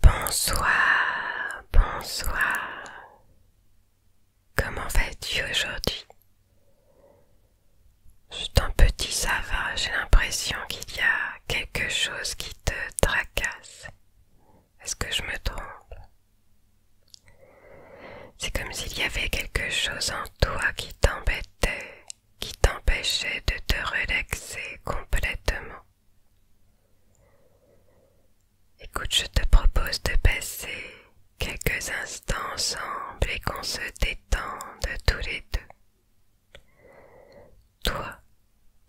Bonsoir, bonsoir. Comment vas-tu aujourd'hui Juste un petit ça va, j'ai l'impression qu'il y a quelque chose qui te tracasse. Est-ce que je me trompe c'est comme s'il y avait quelque chose en toi qui t'embêtait, qui t'empêchait de te relaxer complètement. Écoute, je te propose de passer quelques instants ensemble et qu'on se détende tous les deux. Toi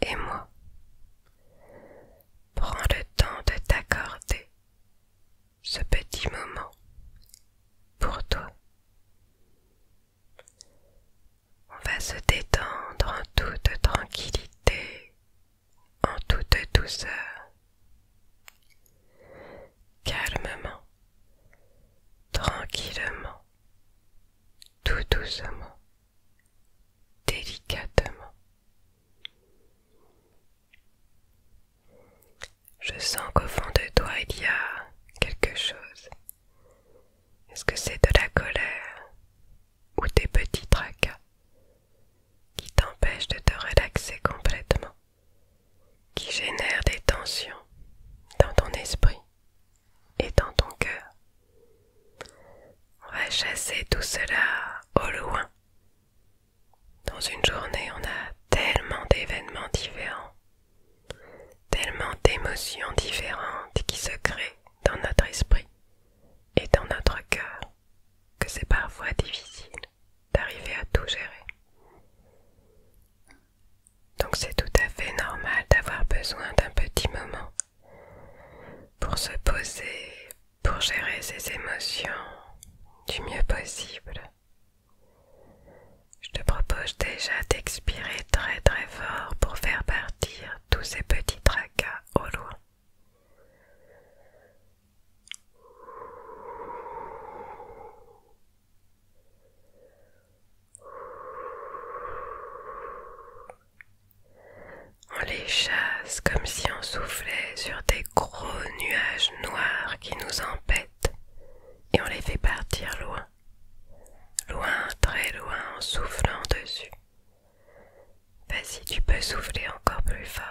et moi. Prends le temps de t'accorder ce petit moment pour toi. On va se détendre en toute tranquillité, en toute douceur, calmement, tranquillement, tout doucement délicatement. Je sens qu'au fond de toi il y a quelque chose. Est-ce que c'est de la colère ou des petits tracas qui t'empêchent de te relaxer complètement, qui génèrent des tensions dans ton esprit et dans ton cœur on va chasser tout cela au loin. Dans une journée, on a tellement d'événements différents, tellement d'émotions différentes qui se créent dans notre esprit et dans notre cœur que c'est parfois difficile d'arriver à tout gérer. Donc c'est tout à fait normal d'avoir besoin d'un petit moment pour se poser, pour gérer ses émotions du mieux possible. Je te propose déjà d'expirer très très fort pour faire partir tous ces petits tracas au loin. On les chasse comme si on soufflait sur des gros nuages noirs qui nous empêtent et on les fait partir loin, loin, très loin en soufflant dessus. Vas-y, bah, tu peux souffler encore plus fort.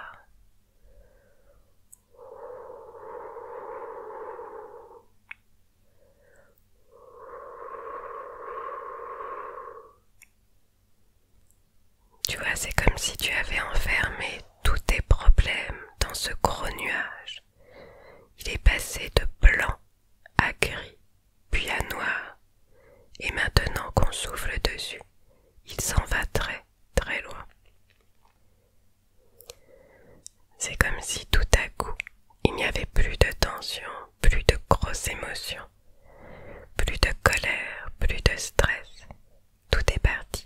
Tu vois, c'est comme si tu avais enfermé tous tes problèmes dans ce gros nuage. Il est passé de blanc à gris, puis à noir, et maintenant qu'on souffle dessus, il s'en va très très loin. C'est comme si tout à coup il n'y avait plus de tension, plus de grosses émotions, plus de colère, plus de stress. Tout est parti.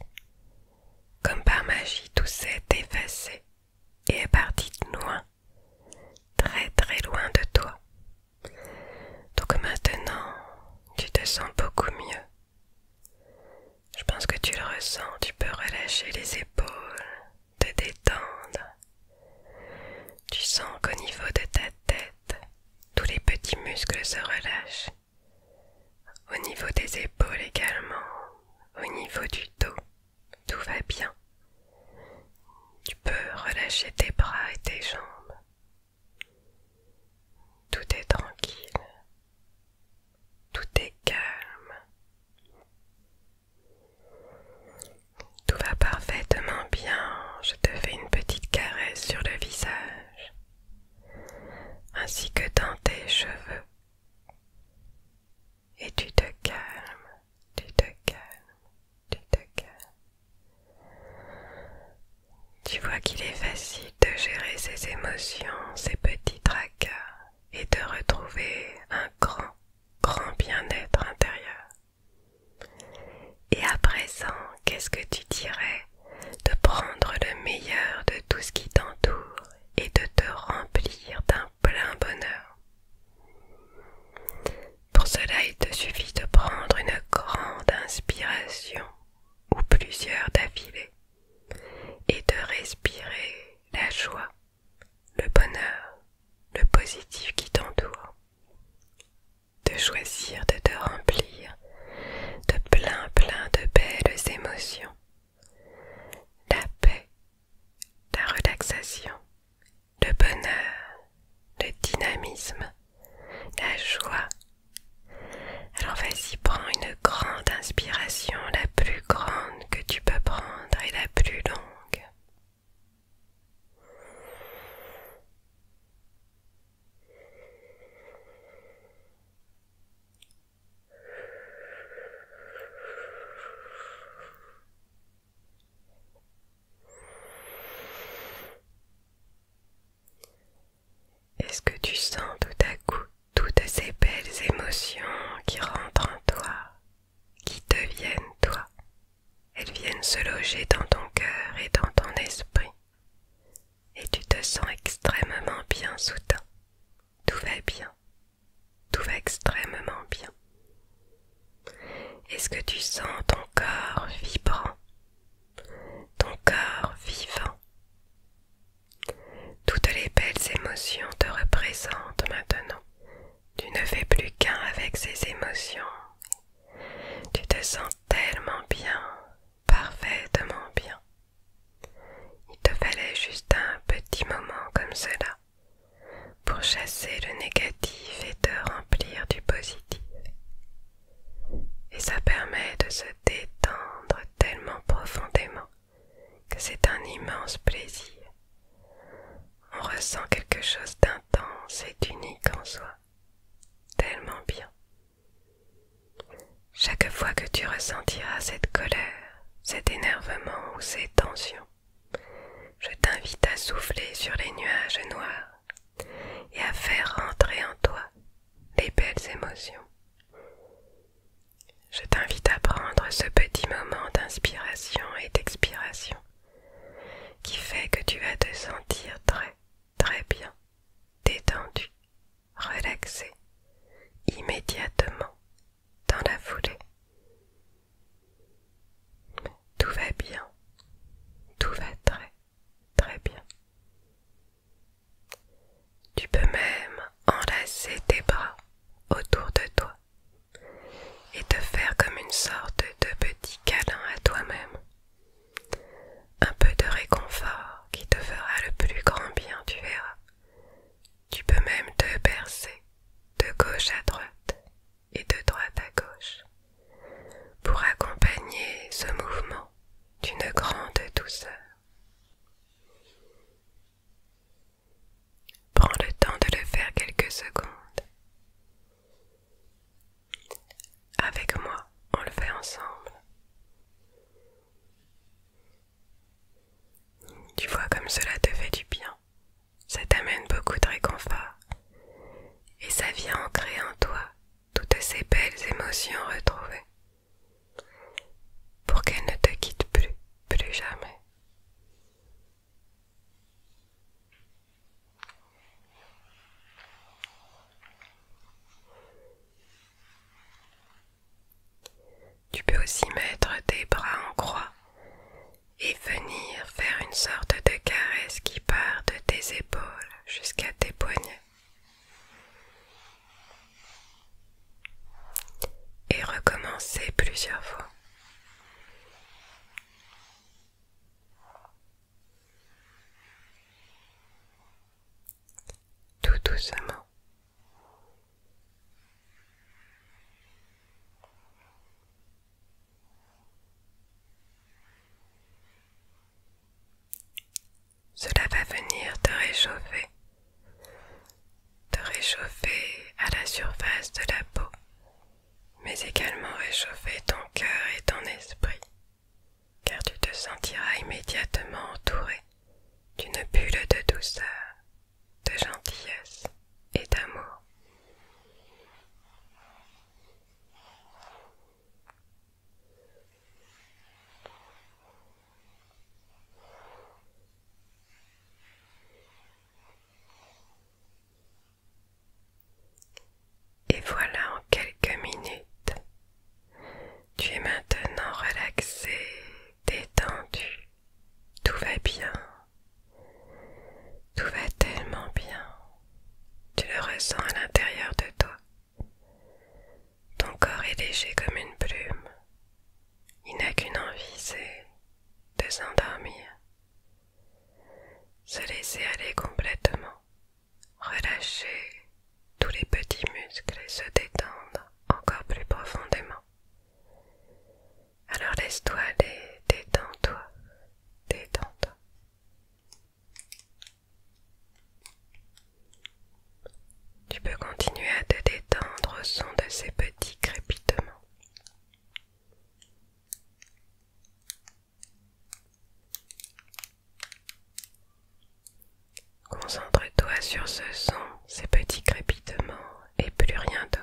Comme par magie, tout s'est effacé et est parti loin, très très loin de toi. Donc maintenant, tu te sens beaucoup mieux. Je pense que tu le ressens, tu peux relâcher les épaules, te détendre. Tu sens qu'au niveau de ta tête, tous les petits muscles se relâchent. Au niveau des épaules également, au niveau du dos, tout va bien. Tu peux relâcher tes bras et tes jambes. Tout est tranquille. Tout est calme. Tout va parfaitement bien, je te fais une petite caresse sur le visage, ainsi que dans tes cheveux. Et tu te calmes, tu te calmes, tu te calmes. Tu vois qu'il est facile de gérer ces émotions, ces petits tracas et de retrouver un grand grand bien-être intérieur. Et à présent, qu'est-ce que tu dirais de prendre le meilleur de tout ce qui t'entoure et de te remplir d'un plein bonheur Pour cela, il te suffit de prendre une grande inspiration ou plusieurs d'affilées et de respirer la joie le bonheur, le positif qui t'entoure, de choisir de te remplir de plein plein de belles émotions, la paix, la relaxation, le bonheur, le dynamisme, la joie. Alors vas-y, prends une grande inspiration, la plus grande que tu peux prendre et la plus longue. Est-ce que tu sens tout à coup toutes ces belles émotions qui rentrent en toi qui deviennent toi. Elles viennent se loger dans ton cœur et dans ton esprit. Et tu te sens extrêmement bien soudain. Tout va bien. Tout va extrêmement bien. Est-ce que tu sens ton corps vibrant, ton corps vivant toutes les belles émotions te représentent maintenant. Tu ne fais plus qu'un avec ces émotions. Tu te sens tellement bien, parfaitement bien. Il te fallait juste un petit moment comme cela pour chasser le négatif et te remplir du positif. Et ça permet de se détendre tellement profondément que c'est un immense plaisir. On ressent quelque chose d'intense et d'unique en soi. Tellement bien. Chaque fois que tu ressentiras cette colère, cet énervement ou ces tensions, je t'invite à souffler sur les nuages noirs et à faire rentrer en toi les belles émotions. Je t'invite à prendre ce petit moment d'inspiration et d'expiration qui fait que tu vas te sentir très très bien, détendu, relaxé, immédiatement, dans la foulée. Tout va bien, tout va très très bien. Tu peux même enlacer tes bras autour de toi et te faire comme une sorte de petit câlin à toi-même. Un peu de réconfort qui te fera le plus grand bien, tu verras. Tu peux même te bercer de gauche à droite et de droite à gauche pour accompagner ce mouvement d'une grande douceur. Prends le temps de le faire quelques secondes. Avec moi, on le fait ensemble. Tu vois comme cela te fait du bien. Ça t'amène beaucoup de réconfort. Et ça vient ancrer en toi toutes ces belles émotions retrouvées pour qu'elle ne te quitte plus, plus jamais. Tu peux aussi mettre tes bras en croix et venir faire une sorte de caresse qui part de tes épaules jusqu'à tes poignets et recommencer plusieurs fois. Tout doucement. Cela va venir te réchauffer, te réchauffer à la surface de la peau, mais également réchauffer ton cœur et ton esprit, car tu te sentiras immédiatement entouré d'une bulle de douceur, de gentillesse et d'amour. Et voilà en quelques minutes, tu es maintenant relaxé, détendu, tout va bien, tout va tellement bien, tu le ressens à l'intérieur de toi. Ton corps est léger comme une plume. Il n'a qu'une envie, c'est de s'endormir. Se laisser aller complètement. Relâcher tous les petits muscles et se détendre encore plus profondément. Alors laisse-toi aller, détends-toi, détends-toi. Tu peux continuer à te détendre au son de ces petits crépitements. Concentre-toi sur ce son, ces petits crépitements et plus rien d'autre.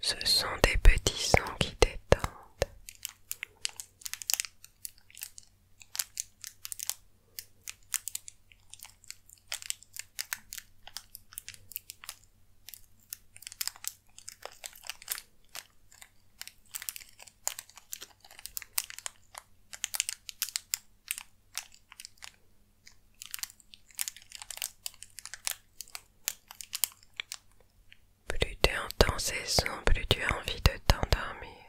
Ce sont des petits sons qui détendent. Plus tu entends ces sons, plus tu as envie de t'endormir.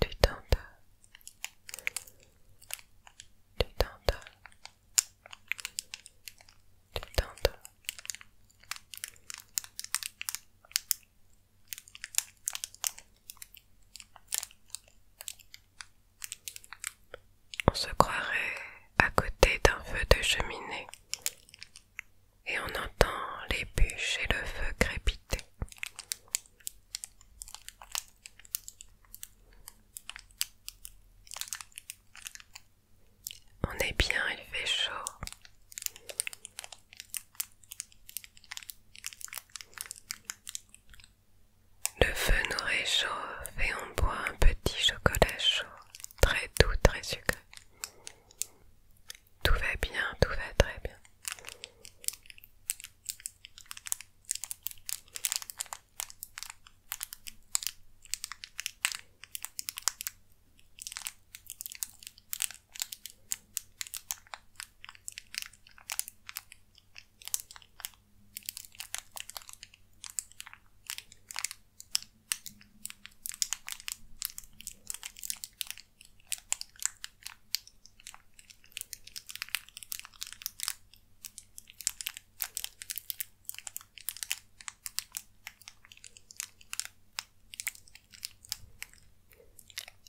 Tu t'endors. Tu on se croirait à côté d'un feu de cheminée et on entend les bûches et le feu crépiter. On est bien, il fait chaud. Le feu nous réchauffe et on boit un petit chocolat chaud, très doux, très sucré. Tout va bien, tout va très bien.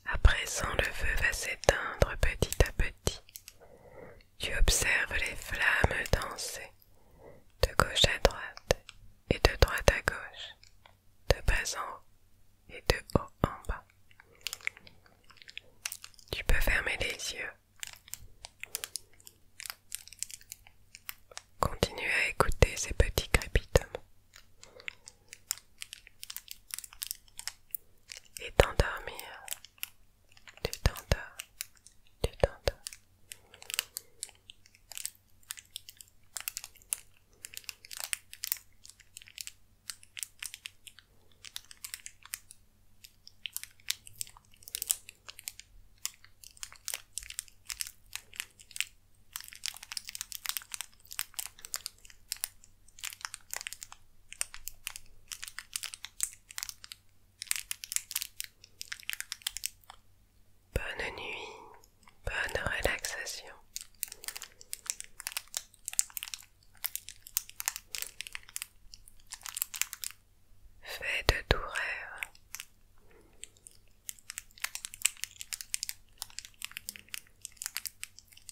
À présent, le feu va s'éteindre petit à petit tu observes les flammes danser de gauche à droite et de droite à gauche, de bas en haut et de haut en bas. Tu peux fermer les yeux. Continue à écouter ces petits crépitements et t'endormir tu t'endors, tu t'endors Bonne nuit, bonne relaxation. Faites de tout rêve.